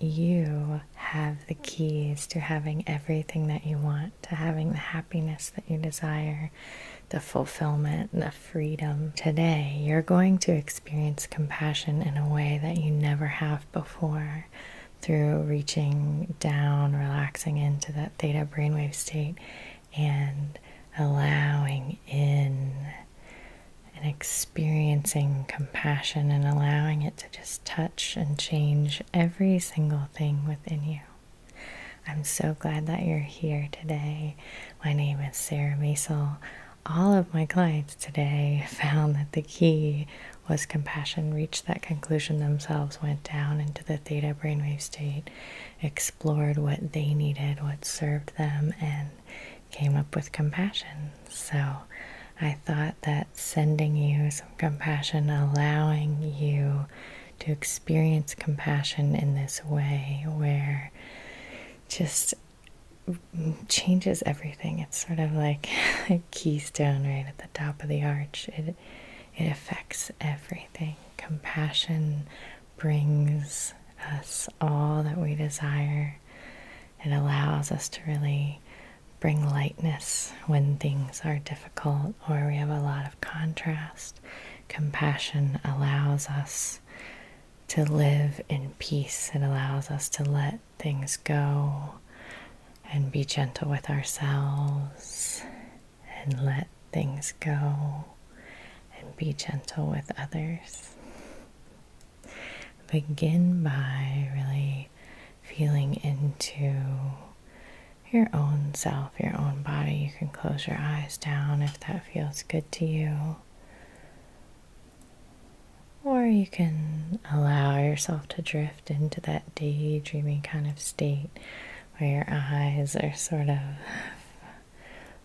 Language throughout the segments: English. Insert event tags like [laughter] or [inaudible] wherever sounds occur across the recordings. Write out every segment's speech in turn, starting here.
You have the keys to having everything that you want, to having the happiness that you desire, the fulfillment, the freedom. Today, you're going to experience compassion in a way that you never have before through reaching down, relaxing into that theta brainwave state, and allowing in and experiencing compassion and allowing it to just touch and change every single thing within you. I'm so glad that you're here today. My name is Sarah Mesel. All of my clients today [laughs] found that the key was compassion, reached that conclusion themselves, went down into the theta brainwave state, explored what they needed, what served them, and came up with compassion. So I thought that sending you some compassion, allowing you to experience compassion in this way, where just changes everything. It's sort of like [laughs] a keystone right at the top of the arch. It it affects everything. Compassion brings us all that we desire. It allows us to really bring lightness when things are difficult or we have a lot of contrast. Compassion allows us to live in peace, it allows us to let things go and be gentle with ourselves and let things go and be gentle with others. Begin by really feeling into your own self, your own body. You can close your eyes down if that feels good to you. Or you can allow yourself to drift into that daydreaming kind of state where your eyes are sort of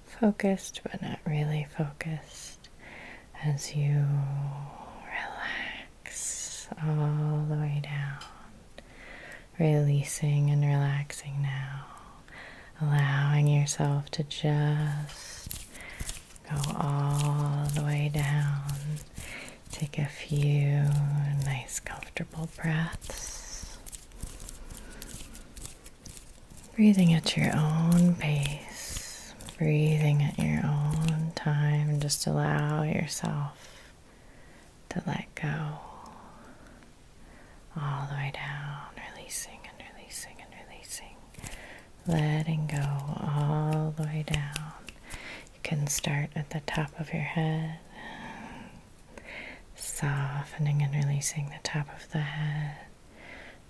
focused but not really focused as you relax all the way down. Releasing and relaxing now, allowing yourself to just go all the way down. Take a few nice, comfortable breaths. Breathing at your own pace breathing at your own time. Just allow yourself to let go all the way down, releasing and releasing and releasing, letting go all the way down. You can start at the top of your head, softening and releasing the top of the head.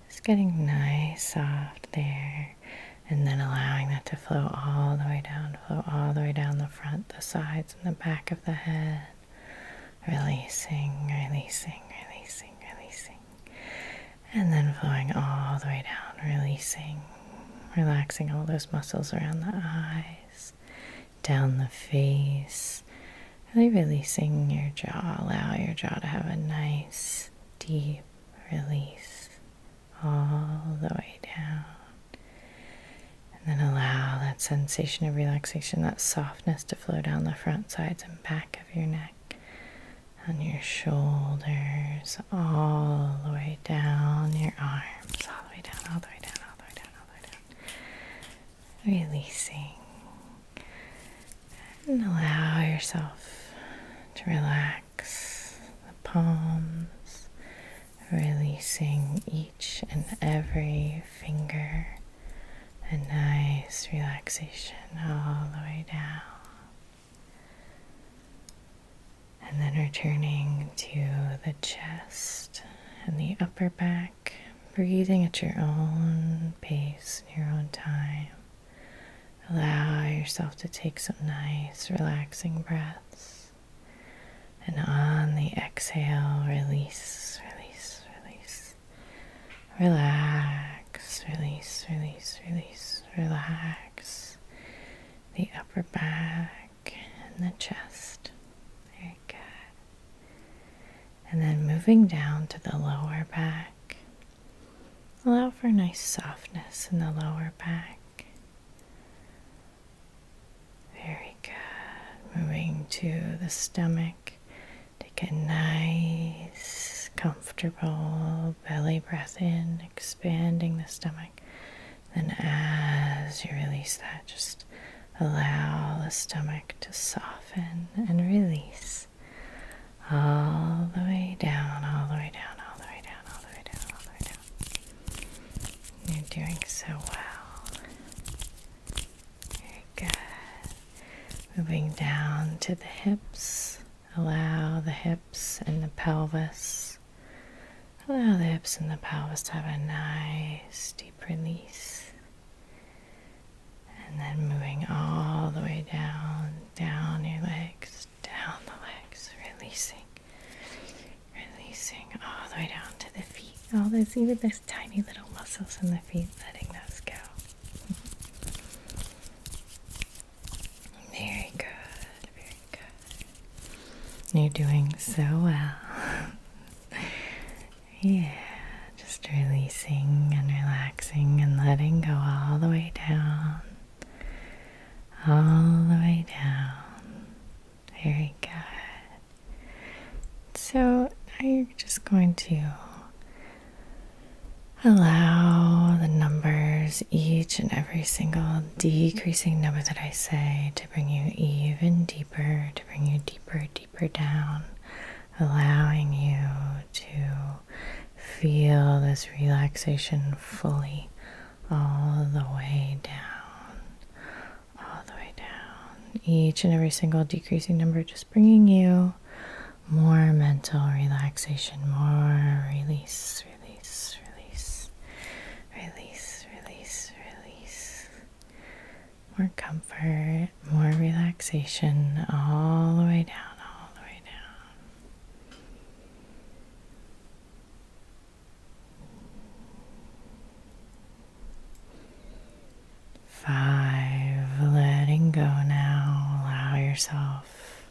It's getting nice, soft there, and then allowing that to flow all the way down, flow all the way down the front, the sides, and the back of the head. Releasing, releasing, releasing, releasing, and then flowing all the way down, releasing, relaxing all those muscles around the eyes, down the face. Really releasing your jaw, allow your jaw to have a nice, deep, release all the way down. And then allow that sensation of relaxation, that softness to flow down the front, sides, and back of your neck, on your shoulders, all the way down your arms, all the way down, all the way down, all the way down, all the way down. Releasing. And allow yourself to relax the palms, releasing each and every finger. A nice relaxation all the way down. And then returning to the chest and the upper back, breathing at your own pace and your own time. Allow yourself to take some nice, relaxing breaths. And on the exhale, release, release, release. Relax, release, release, release, relax. The upper back and the chest. Very good. And then moving down to the lower back Allow for nice softness in the lower back. Very good. Moving to the stomach. Take a nice, comfortable belly breath in, expanding the stomach. Then, as you release that, just allow the stomach to soften and release all the way down, all the way down, all the way down, all the way down, all the way down. You're doing so well. Very good. Moving down to the hips. Allow the hips and the pelvis. Allow the hips and the pelvis to have a nice deep release. And then moving all the way down, down your legs, down the legs, releasing, releasing all the way down to the feet. All oh, those, even those tiny little muscles in the feet, letting those go. very good, very good. You're doing so well. [laughs] yeah, just releasing and relaxing and letting go all the way down all the way down. Very good. So now you're just going to allow the numbers, each and every single decreasing number that I say, to bring you even deeper, to bring you deeper, deeper down, allowing you to feel this relaxation fully all the way down, all the way down. Each and every single decreasing number just bringing you more mental relaxation, more release, release, release, release, release, release. More comfort, more relaxation all the way down, all the way down. Five, letting go now. Allow yourself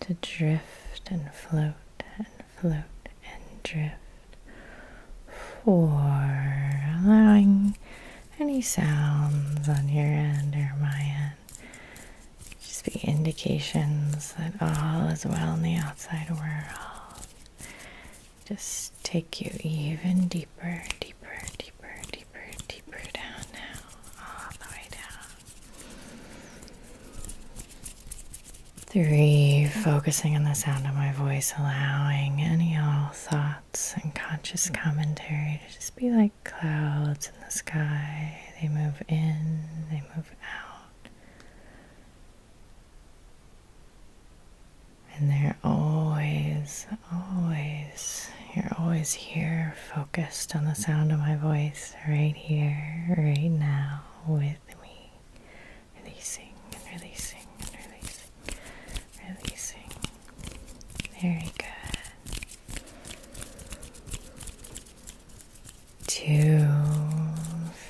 to drift and float and float and drift. Four, allowing any sounds on your end or my end just be indications that all is well in the outside world. Just take you even deeper, deeper, deeper, deeper, deeper down now, all the way down. Three, focusing on the sound of my voice, allowing any all thoughts and conscious commentary to just be like clouds in the sky. They move in, they move out. And they're always, always, you're always here focused on the sound of my voice right here, right now with me. Releasing and releasing and releasing, releasing. Very good to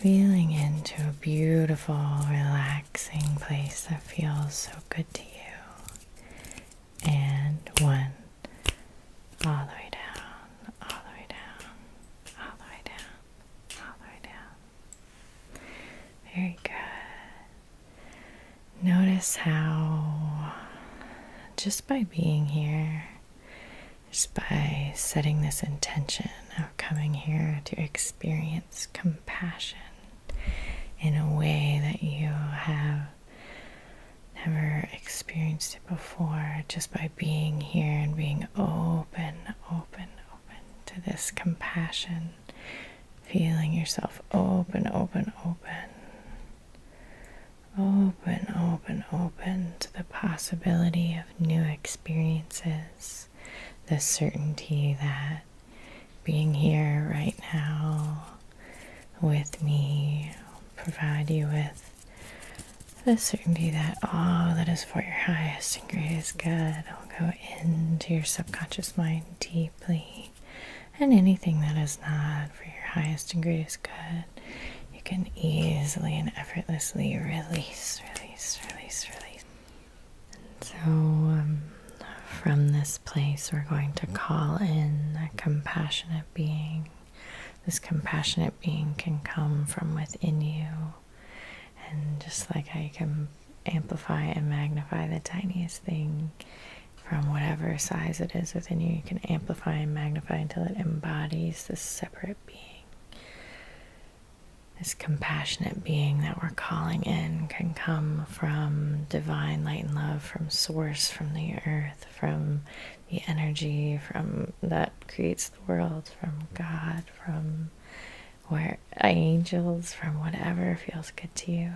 feeling into a beautiful, relaxing place that feels so good to you, and one all the way down, all the way down, all the way down, all the way down. Very good. Notice how. Just just by being here, just by setting this intention of coming here to experience compassion in a way that you have never experienced it before, just by being here and being open, open, open to this compassion, feeling yourself open, open, open. Open, open, open to the possibility of new experiences. The certainty that being here right now with me will provide you with the certainty that all that is for your highest and greatest good will go into your subconscious mind deeply and anything that is not for your highest and greatest good, you can easily and effortlessly release, release, release, release. And so, um, from this place, we're going to call in a compassionate being. This compassionate being can come from within you, and just like I can amplify and magnify the tiniest thing from whatever size it is within you. You can amplify and magnify until it embodies this separate being, this compassionate being that we're calling in can come from divine light and love, from source, from the earth, from the energy, from that creates the world, from God, from where angels, from whatever feels good to you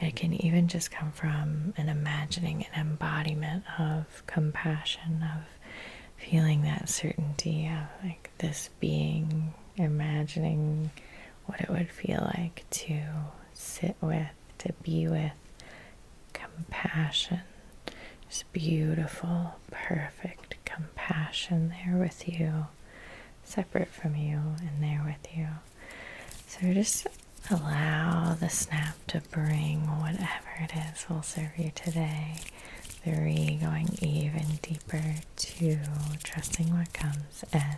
it can even just come from an imagining, an embodiment of compassion, of feeling that certainty of like this being, imagining what it would feel like to sit with, to be with compassion. Just beautiful, perfect compassion there with you, separate from you, and there with you. So just Allow the snap to bring whatever it is will serve you today. Three, going even deeper. Two, trusting what comes. And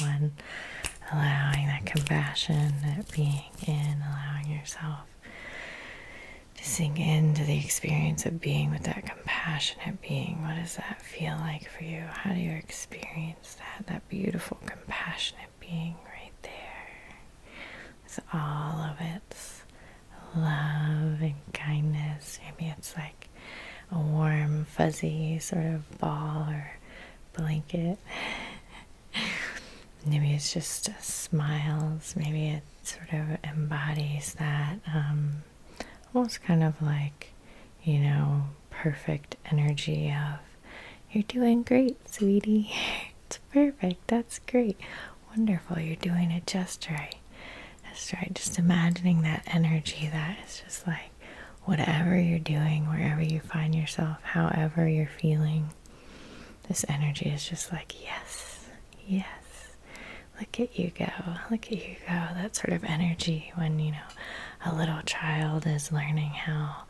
one, allowing that compassion, that being in, allowing yourself to sink into the experience of being with that compassionate being. What does that feel like for you? How do you experience that? That beautiful, compassionate being right there with all of its love and kindness. Maybe it's like a warm, fuzzy sort of ball or blanket. [laughs] maybe it's just smiles. Maybe it sort of embodies that um, almost kind of like, you know, perfect energy of you're doing great, sweetie. [laughs] it's perfect. That's great. Wonderful. You're doing it just right. That's right. Just imagining that energy that is just like whatever you're doing, wherever you find yourself, however you're feeling, this energy is just like, yes, yes. Look at you go. Look at you go. That sort of energy when, you know, a little child is learning how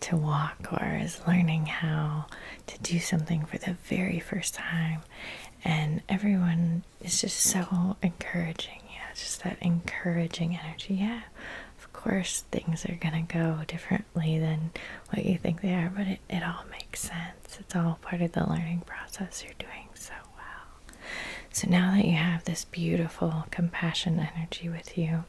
to walk or is learning how to do something for the very first time. And everyone is just so encouraging. Yeah, just that encouraging energy. Yeah, of course, things are going to go differently than what you think they are, but it, it all makes sense. It's all part of the learning process. You're doing so well. So now that you have this beautiful compassion energy with you,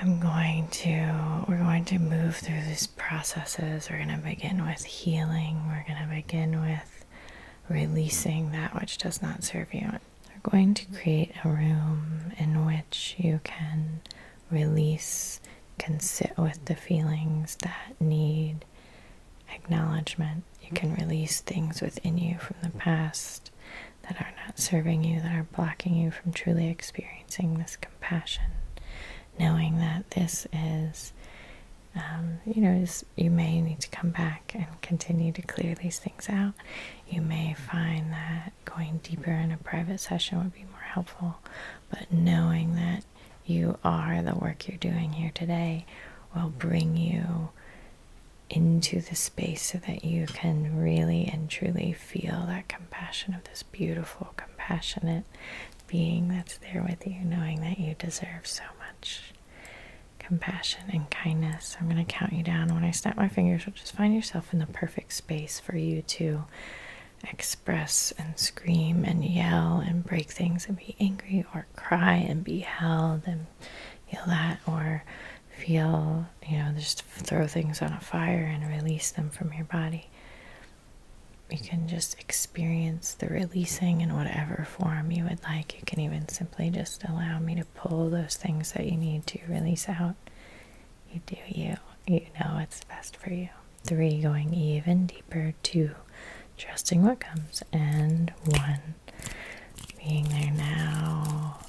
I'm going to, we're going to move through these processes. We're going to begin with healing. We're going to begin with releasing that which does not serve you. We're going to create a room in which you can release, can sit with the feelings that need acknowledgement. You can release things within you from the past that are not serving you, that are blocking you from truly experiencing this compassion. Knowing that this is, um, you know, you may need to come back and continue to clear these things out. You may find that going deeper in a private session would be more helpful, but knowing that you are the work you're doing here today will bring you into the space so that you can really and truly feel that compassion of this beautiful, compassionate being that's there with you, knowing that you deserve so much compassion and kindness. I'm going to count you down. When I snap my fingers, you'll just find yourself in the perfect space for you to express and scream and yell and break things and be angry or cry and be held and feel that or feel, you know, just throw things on a fire and release them from your body. You can just experience the releasing in whatever form you would like. You can even simply just allow me to pull those things that you need to release out. You do you. You know it's best for you. Three, going even deeper. Two, trusting what comes. And one, being there now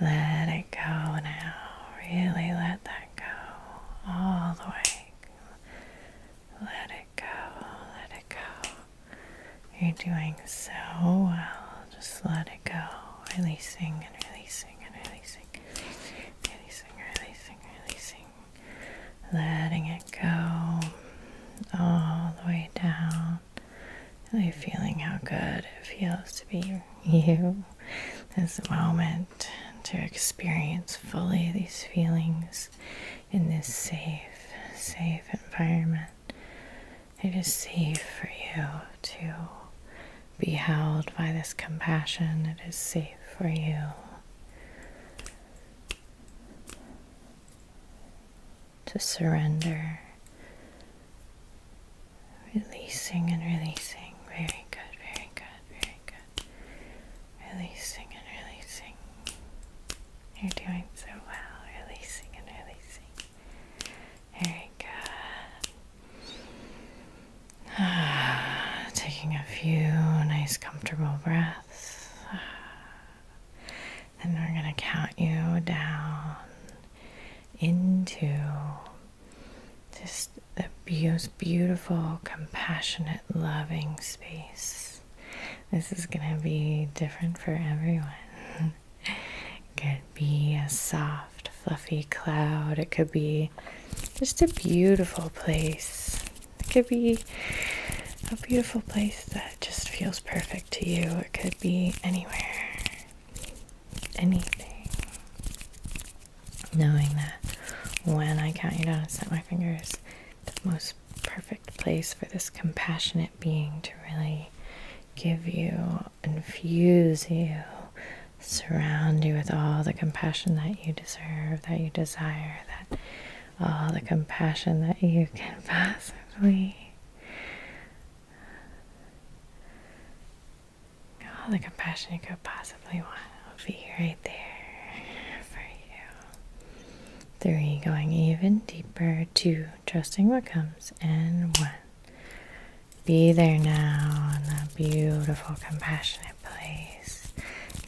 let it go now. Really let that go all the way. Let it go. Let it go. You're doing so well. Just let it go. Releasing and releasing and releasing. Releasing, releasing, releasing. Letting it go all the way down. Really feeling how good it feels to be you this moment, to experience fully these feelings in this safe, safe environment. It is safe for you to be held by this compassion, it is safe for you. To surrender Releasing and releasing. Very good, very good, very good. Releasing and releasing. You're doing so well. Releasing and releasing. Very good. [sighs] taking a few nice, comfortable breaths. Ah, [sighs] then we're going to count you down into just the most beautiful, compassionate, loving space. This is going to be different for everyone. it [laughs] could be a soft, fluffy cloud, it could be just a beautiful place. It could be a beautiful place that just feels perfect to you. It could be anywhere anything. Knowing that when I count you down and set my fingers, the most perfect place for this compassionate being to really give you, infuse you, surround you with all the compassion that you deserve, that you desire, that all the compassion that you can [laughs] possibly all oh, the compassion you could possibly want will be right there for you. Three, going even deeper. Two, trusting what comes. And one, be there now in that beautiful, compassionate place.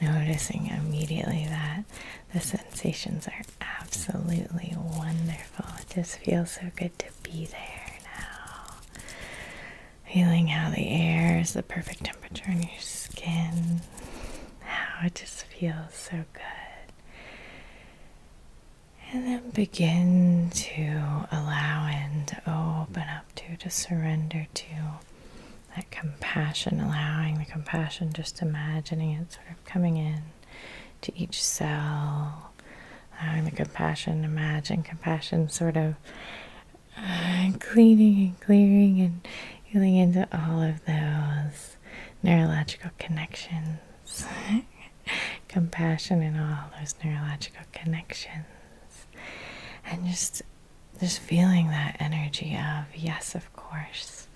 Noticing immediately that the sensations are absolutely wonderful. It just feels so good to be there now. Feeling how the air is the perfect temperature on your skin. How it just feels so good. And then begin to allow and open up to, to surrender to that compassion, allowing the compassion, just imagining it sort of coming in to each cell, allowing the compassion imagine compassion sort of uh, cleaning and clearing and healing into all of those neurological connections. [laughs] compassion in all those neurological connections. And just just feeling that energy of yes, of course.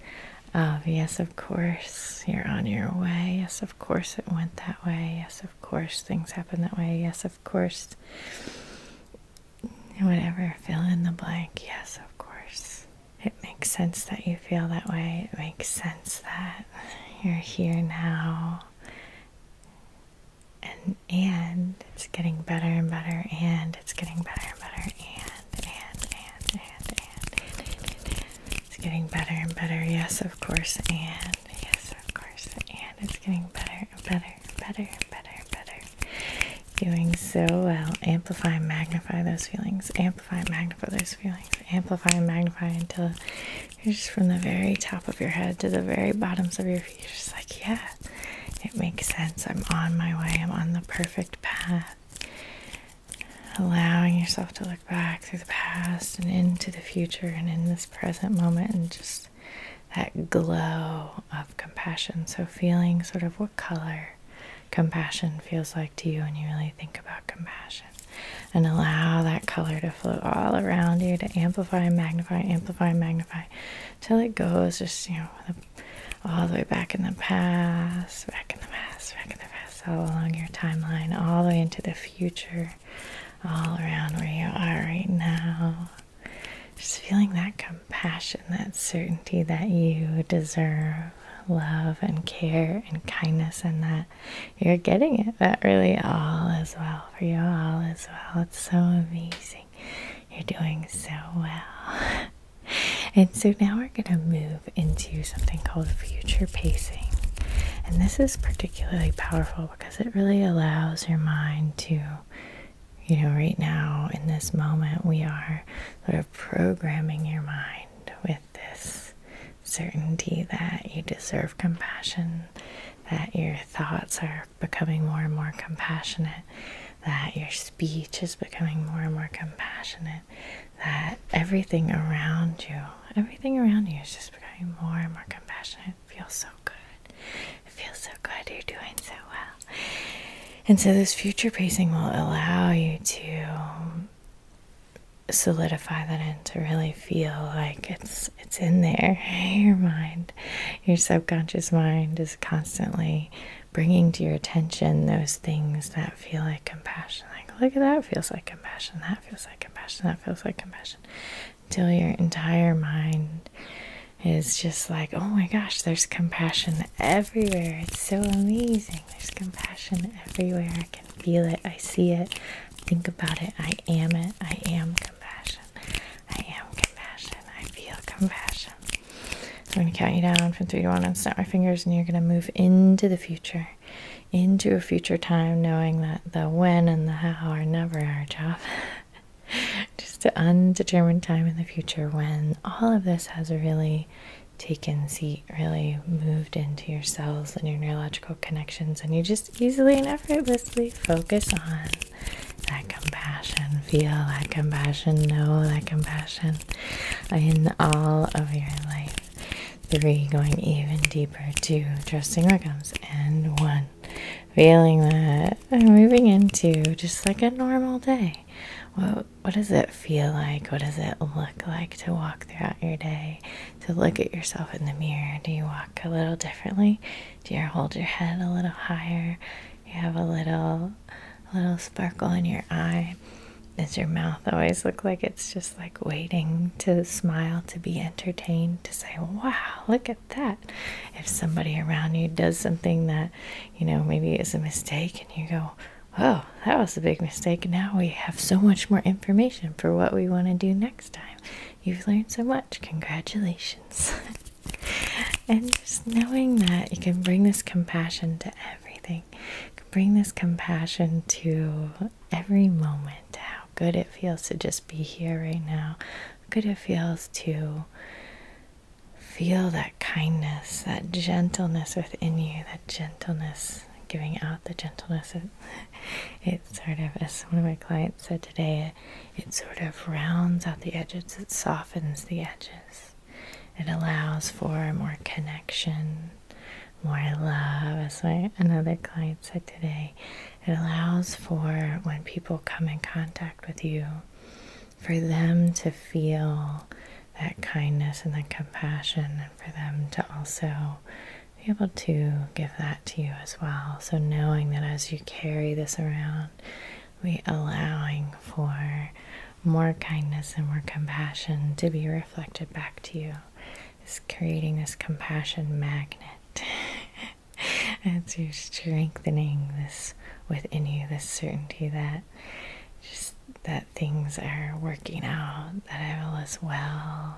Of yes, of course, you're on your way. Yes, of course, it went that way. Yes, of course things happen that way. Yes, of course. Whatever, fill in the blank. Yes, of course. It makes sense that you feel that way. It makes sense that you're here now. And and it's getting better and better and it's getting better and better and and and and and and and, and, and. It's getting better and better, yes, of course, and yes, of course, and it's getting better and better, and better, and better, and better. Doing so well. Amplify and magnify those feelings. Amplify and magnify those feelings. Amplify and magnify until you're just from the very top of your head to the very bottoms of your feet. you just like, yeah, it makes sense. I'm on my way. I'm on the perfect path. Allowing yourself to look back through the past and into the future and in this present moment and just that glow of compassion. So, feeling sort of what color compassion feels like to you when you really think about compassion and allow that color to flow all around you to amplify, magnify, amplify, magnify till it goes just, you know, all the way back in the past, back in the past, back in the past, all along your timeline, all the way into the future all around where you are right now. Just feeling that compassion, that certainty that you deserve love and care and kindness, and that you're getting it. That really all is well for you, all is well. It's so amazing. You're doing so well. [laughs] and so now we're going to move into something called future pacing. And this is produced powerful because it really allows your mind to, you know, right now in this moment, we are sort of programming your mind with this certainty that you deserve compassion, that your thoughts are becoming more and more compassionate, that your speech is becoming more and more compassionate, that everything around you, everything around you is just is more and more compassionate. feels so good. It feels so good. You're doing so well. And so, this future pacing will allow you to solidify that and to really feel like it's it's in there [laughs] your mind your subconscious mind is constantly bringing to your attention those things that feel like compassion like look at that feels like compassion that that feels like compassion, that feels like compassion, until your entire mind is just like, oh my gosh, there's compassion everywhere. It's so amazing. There's compassion everywhere. I can feel it. I see it. Think about it. I am it. I am compassion. I am compassion. I feel compassion. I'm going to count you down from three to one and snap my fingers, and you're going to move into the future into a future time, knowing that the when and the how are never our job. [laughs] Just an undetermined time in the future when all of this has really taken seat, really moved into your cells and your neurological connections, and you just easily and effortlessly focus on that compassion, feel that compassion, know that compassion in all of your life three, going even deeper, two, trusting what comes, and one, feeling that I'm moving into just like a normal day. What, what does it feel like? What does it look like to walk throughout your day? To look at yourself in the mirror? Do you walk a little differently? Do you hold your head a little higher? You have a little, a little sparkle in your eye. Does your mouth always look like it's just like waiting to smile, to be entertained, to say, wow, look at that. If somebody around you does something that, you know, maybe is a mistake and you go, oh, that was a big mistake. Now we have so much more information for what we want to do next time. You've learned so much. Congratulations. [laughs] and just knowing that you can bring this compassion to everything. bring this compassion to every moment, how good it feels to just be here right now, good it feels to feel that kindness, that gentleness within you, that gentleness, giving out the gentleness. It, it sort of, as one of my clients said today, it sort of rounds out the edges, it softens the edges. It allows for more connection, more love, as my another client said today. It allows for when people come in contact with you, for them to feel that kindness and that compassion, and for them to also be able to give that to you as well. So, knowing that as you carry this around, we allowing for more kindness and more compassion to be reflected back to you is creating this compassion magnet. and [laughs] you're strengthening this within you, this certainty that just that things are working out, that all is well,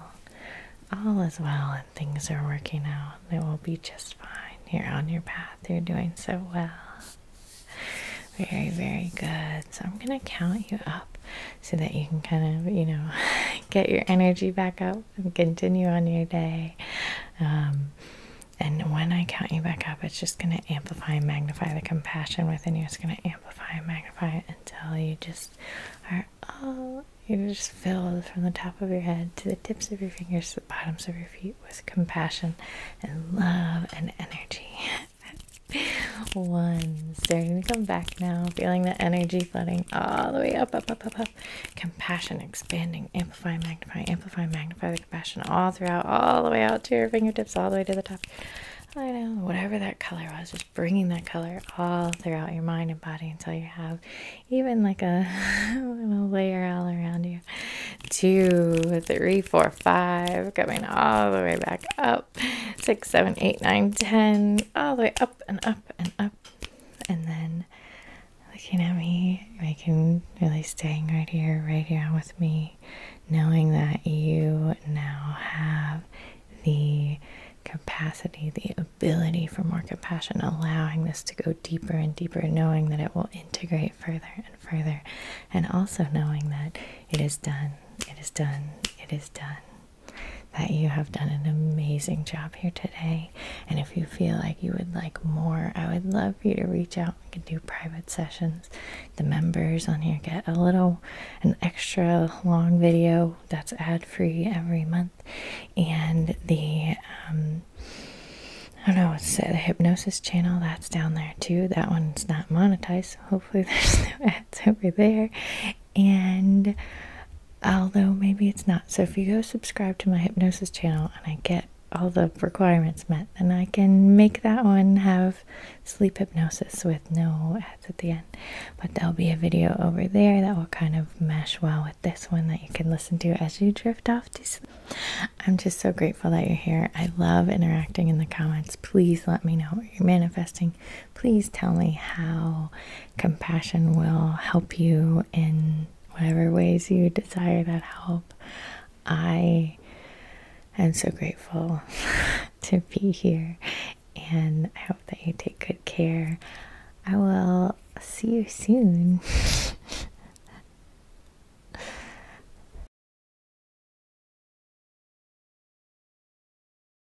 all is well, and things are working out. It will be just fine. You're on your path. You're doing so well. Very, very good. So I'm gonna count you up so that you can kind of, you know, [laughs] get your energy back up and continue on your day. Um, and when I count you back up, it's just going to amplify and magnify the compassion within you. It's going to amplify and magnify until you just are all, you're just filled from the top of your head to the tips of your fingers to the bottoms of your feet with compassion and love and energy. [laughs] One, starting to come back now, feeling the energy energy all the way up, up, up, up, up. Compassion expanding, amplify, magnify, amplify, magnify the compassion all throughout, all the way out to your fingertips, all the way to the top. I know, whatever that color was, just bringing that color all throughout your mind and body until you have even like a [laughs] layer all around you. Two, three, four, five, coming all the way back up up six, seven, eight, nine, ten, all the way up and up and up, and then looking at me, making really staying right here, right here with me, knowing that you now have the capacity, the ability for more compassion, allowing this to go deeper and deeper, knowing that it will integrate further and further, and also knowing that it is done, it is done, it is done that you have done an amazing job here today. And if you feel like you would like more, I would love for you to reach out. We can do private sessions. The members on here get a little, an extra long video that's ad free every month. And the, um, I don't know, it's the hypnosis channel that's down there too. That one's not monetized, so hopefully [laughs] there's no ads over there. And although maybe it's not, so if you go subscribe to my hypnosis channel and I get all the requirements met, then I can make that one have sleep hypnosis with no ads at the end. But there'll be a video over there that will kind of mesh well with this one that you can listen to as you drift off to sleep. I'm just so grateful that you're here. I love interacting in the comments. Please let me know what you're manifesting please tell me how compassion will help you in whatever ways you desire that help. I am so grateful [laughs] to be here and I hope that you take good care. I will see you soon. [laughs]